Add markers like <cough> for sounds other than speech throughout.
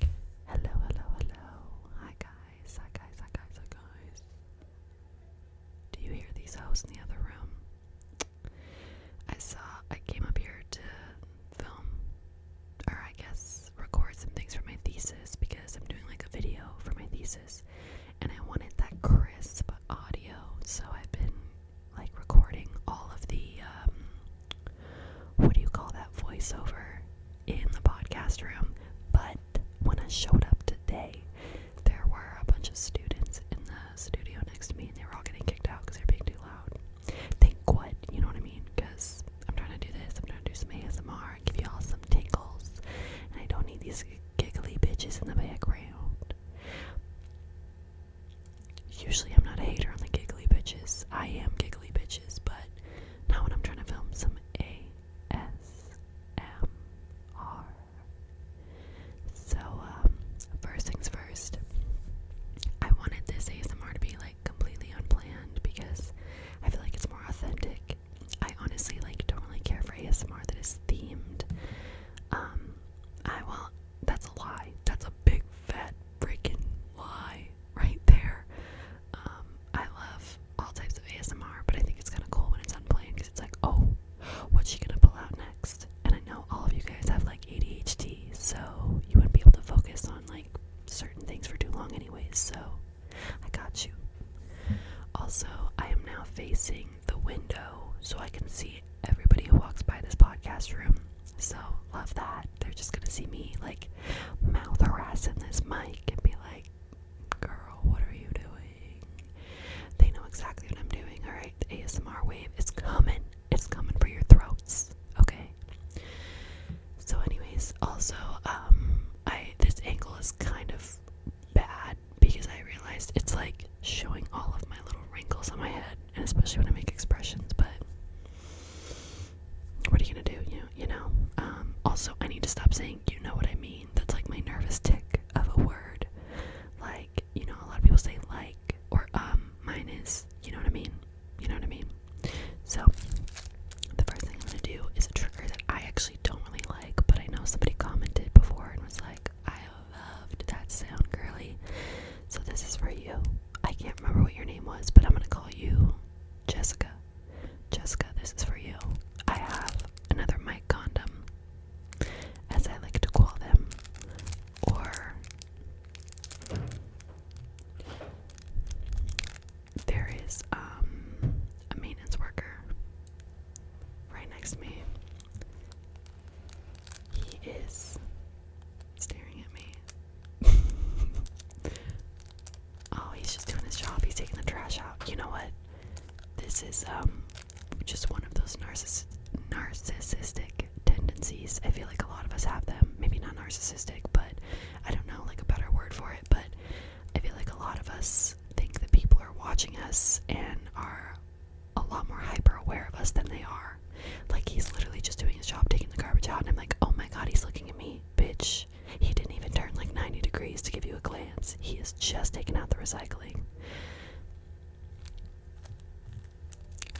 Hello, hello, hello. Hi guys, hi guys, hi guys, hi guys. Do you hear these hoes in the other room? I saw, I came up here to film, or I guess record some things for my thesis because I'm doing like a video for my thesis and I wanted that crisp audio, so I've been like recording all of the um, what do you call that voiceover in the podcast room? But when I showed up today, there were a bunch of students in the studio next to me, and they were all getting kicked out because they were being too loud. Think what, you know what I mean? Because I'm trying to do this, I'm trying to do some ASMR, give you all some tingles, and I don't need these giggly bitches in the background. Usually, I'm not a hater on the giggly bitches. I am giggly bitches, but now when I'm trying to film some ASMR. So, um, first things first, I wanted this ASMR to be like completely unplanned because I feel like it's more authentic. I honestly like don't really care for ASMR that is themed. Um, I well, that's a lie. That's a big fat freaking lie right there. Um, I love all types of ASMR, but I think it's kind of cool when it's unplanned because it's like, oh, what's she gonna pull out next? And I know all of you guys have like ADHD, so you wouldn't be able to focus on like certain things for too long, anyways. So I got you. Also, I am now facing the window so I can see everybody who walks by this podcast room. So love that. They're just gonna see me like mouth harassing this mic and be like, girl, what are you doing? They know exactly what I'm doing, alright? The ASMR wave is coming. It's coming for your throats. Okay. So anyways, also, um, I this angle is kind of bad because I realized it's like showing all of my little wrinkles on my head and especially when I make expressions, but what are you gonna do? You you know. Um, also, I need to stop saying you know what I mean. That's like my nervous tick of a word. Like you know, a lot of people say like or um. Mine is you know what I mean. You know what I mean. So the first thing I'm gonna do is a trigger that I actually don't really like, but I know somebody commented before and was like, I loved that sound, girly. So this is for you. I can't remember what your name was, but I'm gonna call you Jessica. Jessica, this is for you. I have another mic condom, as I like to call them, or there is um, a maintenance worker right next to me. He is staring at me oh, he's just doing his job. He's taking the trash out. You know what? This is um just one of those narciss narcissistic tendencies. I feel like a lot of us have them. Maybe not narcissistic, but I don't know like a better word for it, but I feel like a lot of us think that people are watching us and are a lot more hyper aware of us than they are. Like he's literally just doing his job taking the garbage out and I'm like, "Oh my god, he's looking at me." bitch. He didn't even turn like 90 degrees to give you a glance. He is just taking out the recycling.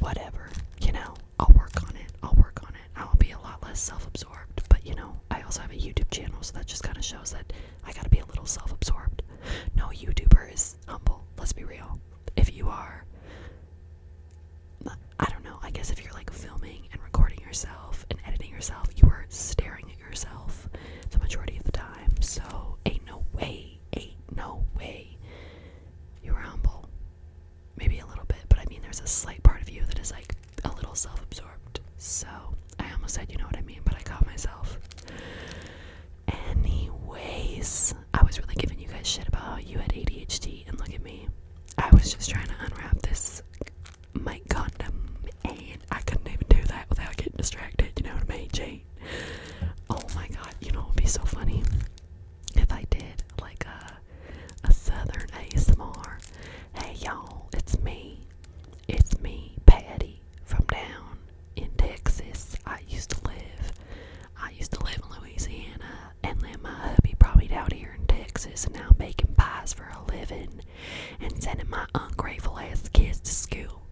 Whatever, you know, I'll work on it. I'll work on it. I'll be a lot less self absorbed, but you know, I also have a YouTube channel, so that just kind of shows that I gotta be a little self absorbed. No YouTuber is humble, let's be real. If you are, I don't know, I guess if you're like filming and recording yourself and editing yourself, you are staring at yourself the majority of the time. So, ain't no way, ain't no way you are humble. Maybe a little bit, but I mean, there's a slight part of you that is like a little self absorbed. So, I almost said, you know what I mean, but I caught myself. Anyways, I was really giving you guys shit about how you had ADHD, and look at me. I was just trying to unwrap this my condom and I couldn't even do that without getting distracted, you know what I mean, Jane? Oh my god, you know it would be so funny if I did like a, uh, a southern ASMR. Hey y'all, it's me. It's me, Patty, from down in Texas. I used to live. I used to live in Louisiana and let my hubby probably me down here in Texas, and now I'm making pies for a living and sending my ungrateful ass kids to school.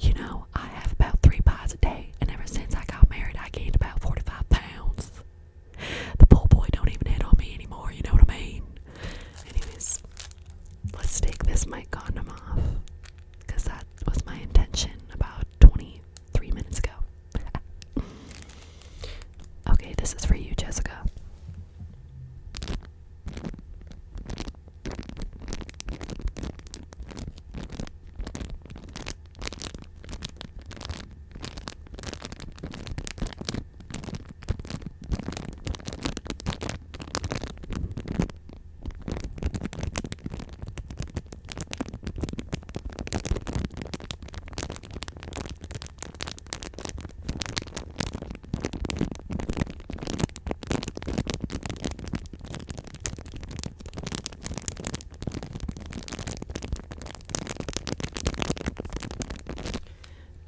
You know, I have about three pies a day, and ever since I got married, I gained about 45 pounds. The poor boy don't even hit on me anymore, you know what I mean? Anyways, let's take this mic condom off, because that was my intention about 23 minutes ago okay, this is for you, Jessica.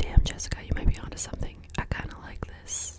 Damn, Jessica, you might be onto something. I kind of like this.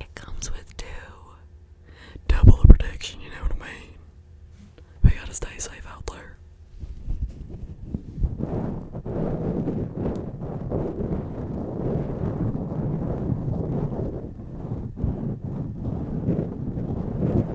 It comes with two. Double the protection, you know what I mean? We gotta stay safe out there.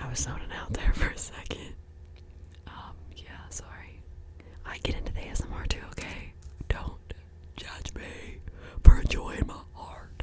I was zoning out there <laughs> for a second. Um, yeah, sorry. I get into the ASMR too, okay? Don't judge me for enjoying my art.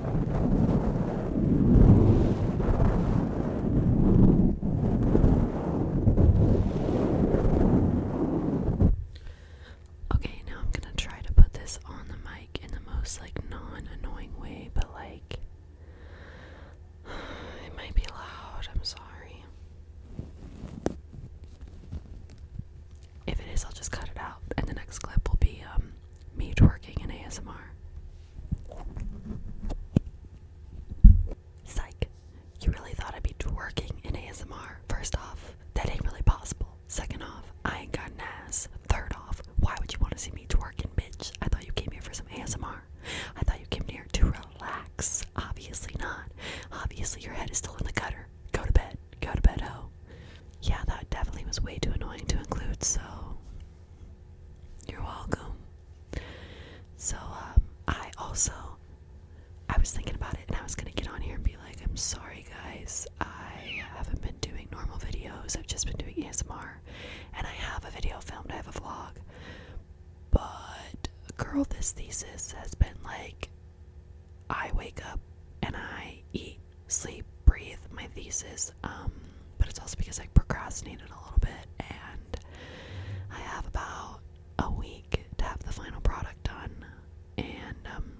Okay, now I'm gonna try to put this on the mic in the most like non annoying way, but like <sighs> it might be loud. I'm sorry. If it is, I'll just cut it out, and the next clip will be um me twerking in ASMR. Psych. You really thought I'd be twerking in ASMR? First off, that ain't really possible. Second off, I ain't got an ass. Third off, why would you want to see me twerking, bitch? I thought you came here for some ASMR. I thought you came here to relax. Obviously not. Obviously, your head is still in the gutter. Go to bed. Go to bed, Oh, Yeah, that definitely was way too annoying to include, so you're welcome. So um, I also I was thinking about it and I was gonna get on here and be like, I'm sorry guys, I haven't been doing normal videos. I've just been doing ASMR and I have a video filmed, I have a vlog. But girl, this thesis has been like I wake up and I eat sleep, breathe my thesis. Um, but it's also because I procrastinated a little bit, and I have about a week to have the final product done. And um,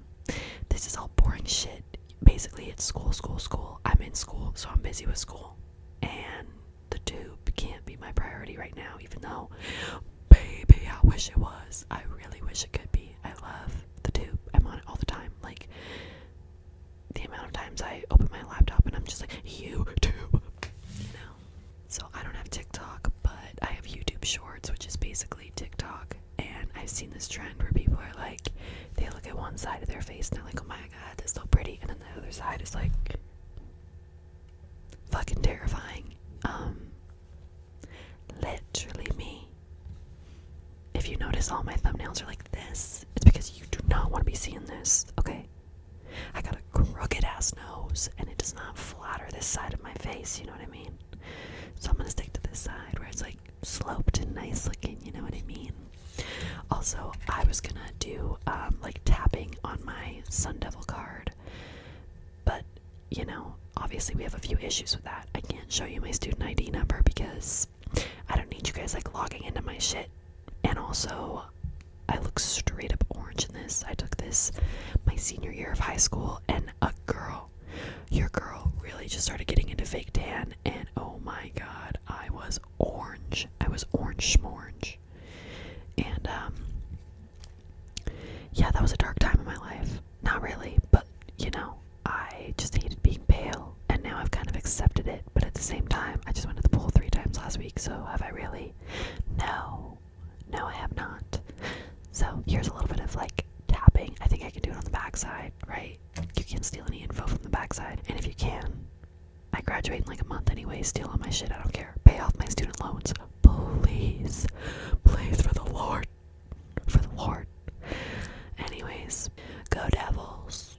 this is all boring shit. Basically, it's school, school, school. I'm in school, so I'm busy with school, and the tube can't be my priority right now, even though. Baby, I wish it was. I really wish it could be. I love the tube. I'm on it all the time. Like, the amount of times I open my laptop and I'm just like, YouTube! You know? So I don't have TikTok, but I have YouTube Shorts, which is basically TikTok. And I've seen this trend where people are like, they look at one side of their face and they're like, oh my god, that's so pretty. And then the other side is like, fucking terrifying. Um, literally me. If you notice, all my thumbnails are like this. It's because you do not want to be seeing this, okay? I got a crooked ass nose, and it does not flatter this side of my face, you know what I mean? So I'm gonna stick to this side where it's like sloped and nice looking, you know what I mean? Also, I was gonna do um, like tapping on my Sun Devil card, but you know, obviously we have a few issues with that. I can't show you my student ID number because I don't need you guys like logging into my shit. And also, I look straight up orange in this. I took this my senior year of high school, and a girl, your girl, really just started getting into fake tan. And oh my god, I was orange. I was orange schmorange. And, um, yeah, that was a dark time in my life. Not really, but you know, I just hated being pale, and now I've kind of accepted it. But at the same time, I just went to the pool three times last week, so have I really? No, no, I have not. So here's a little bit of like tapping. I think I can do it on the backside, right? You can't steal any info from the backside, and if you can, I graduate in like a month anyway. Steal all my shit, I don't care. Pay off my student loans, please, please for the Lord, for the Lord. Anyways, go Devils.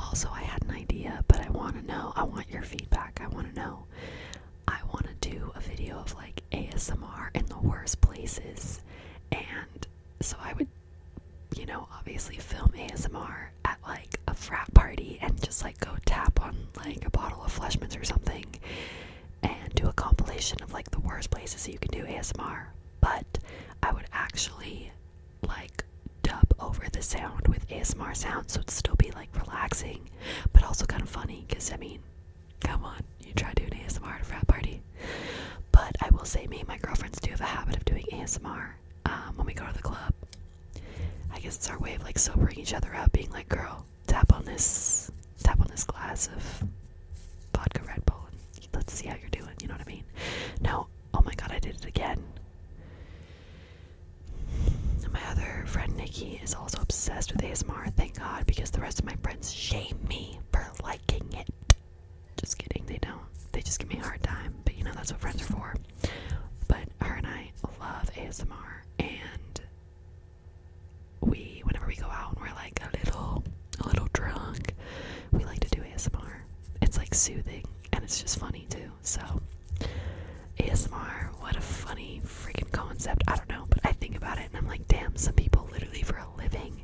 Also, I had an idea, but I want to know. I want your feedback. I want to know. I want to do a video of like ASMR in the worst places. And so I would, you know, obviously film ASMR at like a frat party and just like go tap on like a bottle of Fleshman's or something and do a compilation of like the worst places that you can do ASMR. But I would actually like dub over the sound with ASMR sounds, so it'd still be like relaxing, but also kind of funny. Cause I mean, come on, you try doing ASMR at a frat party. But I will say, me and my girlfriends do have a habit of doing ASMR um, when we go to the club. I guess it's our way of like sobering each other up, being like, "Girl, tap on this, tap on this glass of vodka Red Bull, and let's see how you're doing." You know what I mean? No, oh my God, I did it again. My other friend Nikki is also obsessed with ASMR, thank God, because the rest of my friends shame me for liking it. Just kidding, they don't. They just give me a hard time, but you know, that's what friends are for. But her and I love ASMR, and we, whenever we go out and we're like a little, a little drunk, we like to do ASMR. It's like soothing, and it's just funny too. So, ASMR, what a funny freaking concept. I don't know, but I think about it and I'm like, damn, some people literally for a living,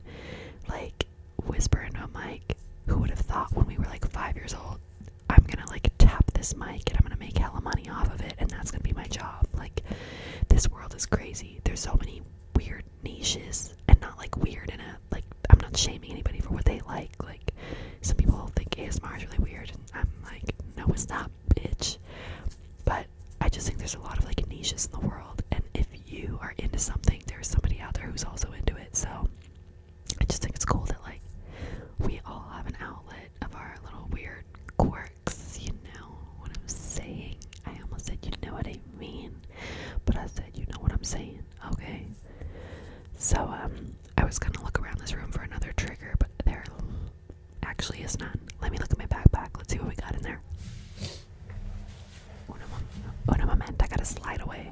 like, whisper into a mic. Who would have thought when we were like five years old, I'm gonna like tap this mic and I'm gonna make hella money off of it and that's gonna be my job? Like, this world is crazy. There's so many weird niches and not like weird in a that like I'm not shaming anybody for what they like. Like some people think ASMR is really weird and I'm like, no it's not, bitch. But I just think there's a lot of like niches in the world and if you are into something there's somebody out there who's also into it. So I just think it's cool that like we all have an outlet of our little weird quirks, you know what I'm saying. I almost said you know what I mean. But I said you know what I'm saying, okay? So um I was gonna look around this room for another trigger, but there actually is none. Let me look at my backpack. Let's see what we got in there. Una, una moment, I gotta slide away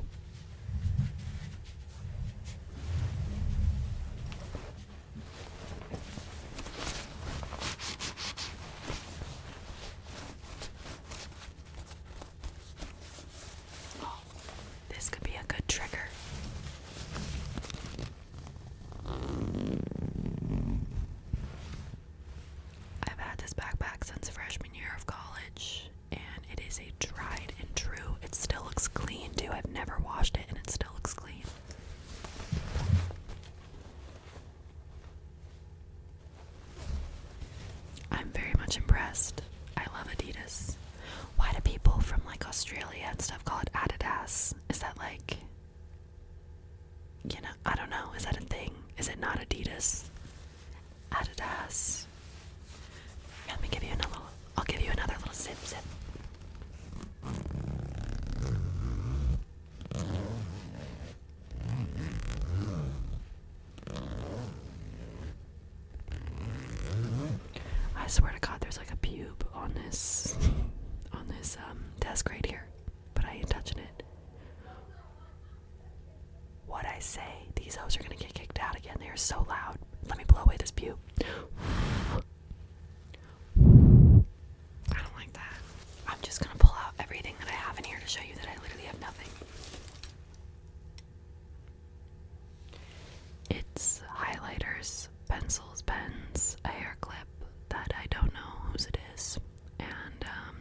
this could be a good trigger. I've had this backpack since freshman year of college, and it is a tried and true. It still looks clean, too. I've never washed it, and it still looks clean. I'm very much impressed. I love Adidas. Why do people from like Australia and stuff call it Adidas? Is that like, you know, I don't know. Is that a thing? Is it not Adidas? Adidas. Let me give you another. I'll give you another little sip, sip. I swear to God, there's like a pube on this on this um, desk right here, but I ain't touching it. What I say? These hoes are gonna get kicked out again. They are so loud. Let me blow away this pube. I don't like that. I'm just gonna pull out everything that I have in here to show you that I literally have nothing. It's highlighters, pencils, pens, a hair clip that I don't know whose it is, and um,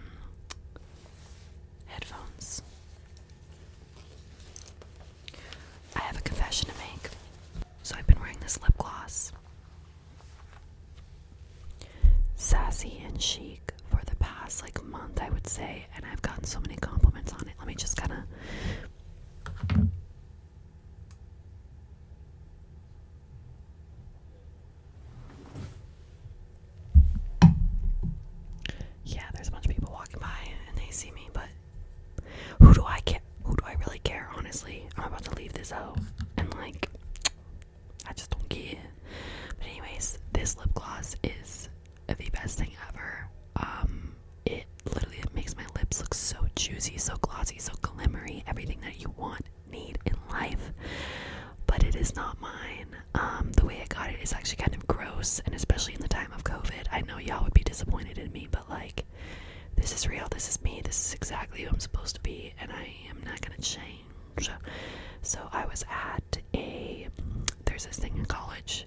headphones. I have a confession to make. So I've been wearing this lip gloss. Sassy and chic for the past like month, I would say and I've gotten so many compliments on it. Let me just kind of. Yeah, there's a bunch of people walking by and they see me, but who do I care? Who do I really care? Honestly, I'm about to leave this out, and like, I just don't care. But anyways, this lip gloss is the best thing ever. Um, it literally it makes my lips look so juicy, so glossy, so glimmery, everything that you want, need in life. But it is not mine. Um, the way I got it is actually kind of gross, and especially in the time of COVID, I know y'all would be disappointed in me, but like, this is real, this is me, this is exactly who I'm supposed to be, and I am not gonna change. So I was at a there's this thing in college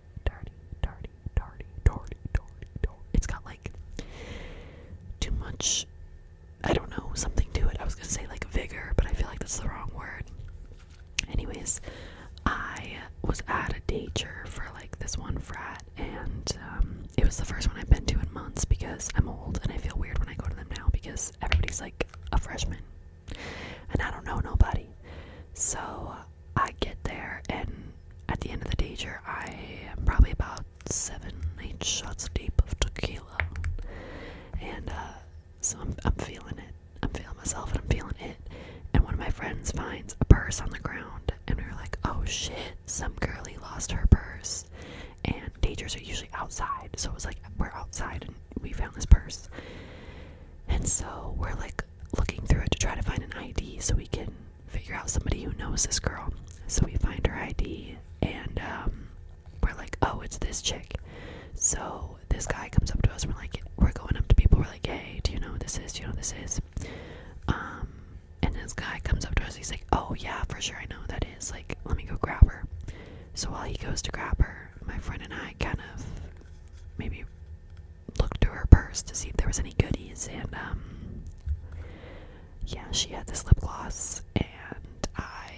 tardy, tardy, tardy, tardy, tardy, tardy. It's got like too much, I don't know, something to it. I was gonna say like vigor, but I feel like that's the wrong word. Anyways, I was at a day church for like this one frat, and um, it was the first one I've been to in months because I'm old and I feel weird when I go to them now because everybody's like a freshman and I don't know nobody. So I get there and at the end of the danger, I am probably about seven, eight shots deep of tequila, and uh, so I'm, I'm feeling it. I'm feeling myself, and I'm feeling it. And one of my friends finds a purse on the ground, and we are like, "Oh shit, some girlie lost her purse." And dangers are usually outside, so it was like we're outside, and we found this purse. And so we're like looking through it to try to find an ID so we can figure out somebody who knows this girl. So we find her ID and um, we're like, oh, it's this chick. So this guy comes up to us we're like, we're going up to people, we're like, do you know who this is? Do you know who this is? Um, and this guy comes up to us, he's like, oh, yeah, for sure, I know who that is. Like, let me go grab her. So while he goes to grab her, my friend and I kind of maybe looked to her purse to see if there was any goodies, and um, yeah, she had this lip gloss, and I,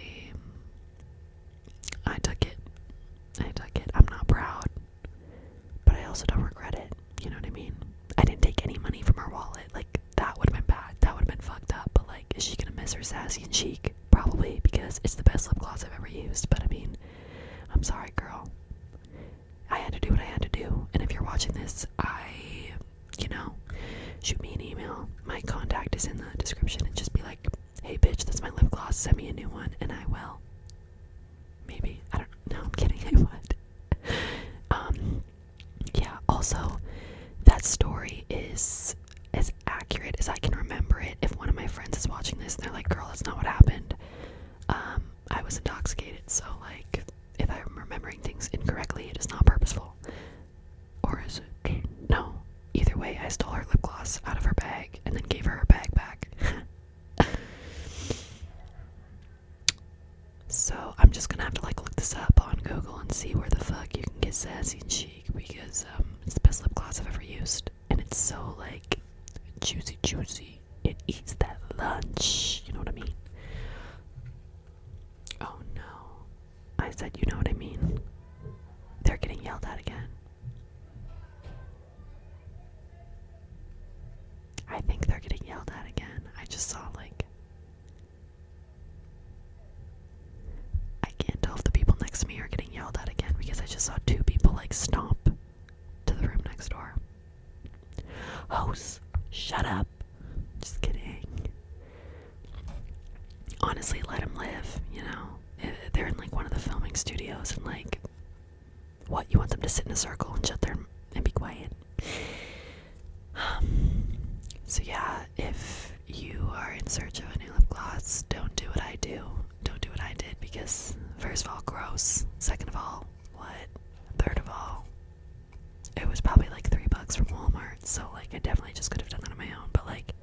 I took it. I took it. I'm not proud, but I also don't regret it. You know what I mean? I didn't take any money from her wallet. Like that would have been bad. That would have been fucked up. But like, is she gonna miss her sassy and chic? Probably because it's the best lip gloss I've ever used. But I mean, I'm sorry, girl. I had to do what I had to do. And if you're watching this, I, you know, shoot me an email. My contact is in the description and just be like, hey, bitch, that's my lip gloss. Send me a new one, and I will. Maybe. I don't know. I'm kidding. <laughs> I would. um, yeah, also, that story is as accurate as I can remember it. If one of my friends is watching this and they're like, girl, that's not what happened, um, I was intoxicated, so like if I'm remembering things incorrectly, it is not purposeful. Or is it? No. Either way, I stole her lip gloss out of her bag and then gave her her bag back. <laughs> so I'm just gonna have to like look this up on Google and see where the fuck you can get sassy and chic because um, it's the best lip gloss I've ever used, and it's so like juicy, juicy. It eats that lunch. You know what I mean? Oh no. I said, you know what I mean? They're getting yelled at again. I think they're getting yelled at again. I just saw, like. I can't tell if the people next to me are getting yelled at again because I just saw two people, like, stomp to the room next door. Hosts, shut up. Just kidding. Honestly, let them live, you know? They're in like one of the filming studios and like, what? You want them to sit in a circle and shut their and be quiet? <sighs> so yeah, if you are in search of a new lip gloss, don't do what I do. Don't do what I did because, first of all, gross. Second of all, what? Third of all, it was probably like three bucks from Walmart, so like I definitely just could have done that on my own. But like,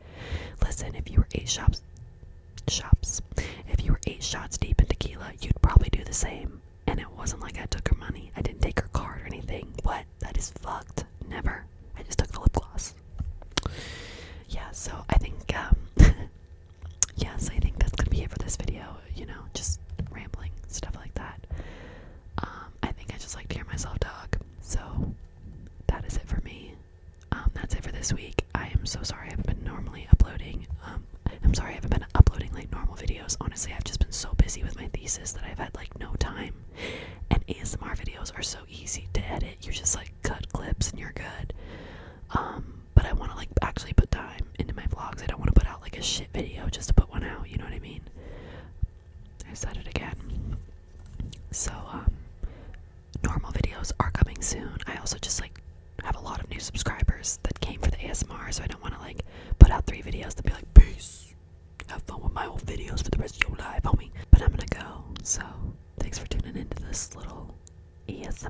listen, if you were eight shops, shops, if you were eight shots deep in tequila, you'd probably do the same. And it wasn't like I took her money. I didn't take her card or anything. What? That is fucked. Never. I just took the lip gloss. Yeah, so I think um <laughs> yeah, so I think that's gonna be it for this video. You know, just rambling stuff like that. Um, I think I just like to hear myself talk. So that is it for me. Um, that's it for this week. I am so sorry I haven't been normally uploading. Um, I'm sorry I haven't been uploading like normal videos. Honestly, I've just been so busy with my thesis that I've had like no time. And ASMR videos are so easy to edit. You just like cut clips and you're good. Um, but I want to like actually put time into my vlogs. I don't want to put out like a shit video just to put one out. You know what I mean? I said it again. So um, normal videos are coming soon. I also just like have a lot of new subscribers that came for the ASMR, so I don't want to like put out three videos to be like peace. Have fun with my old videos for the rest of your life, homie. But I'm gonna go. So thanks for tuning into this little ASMR.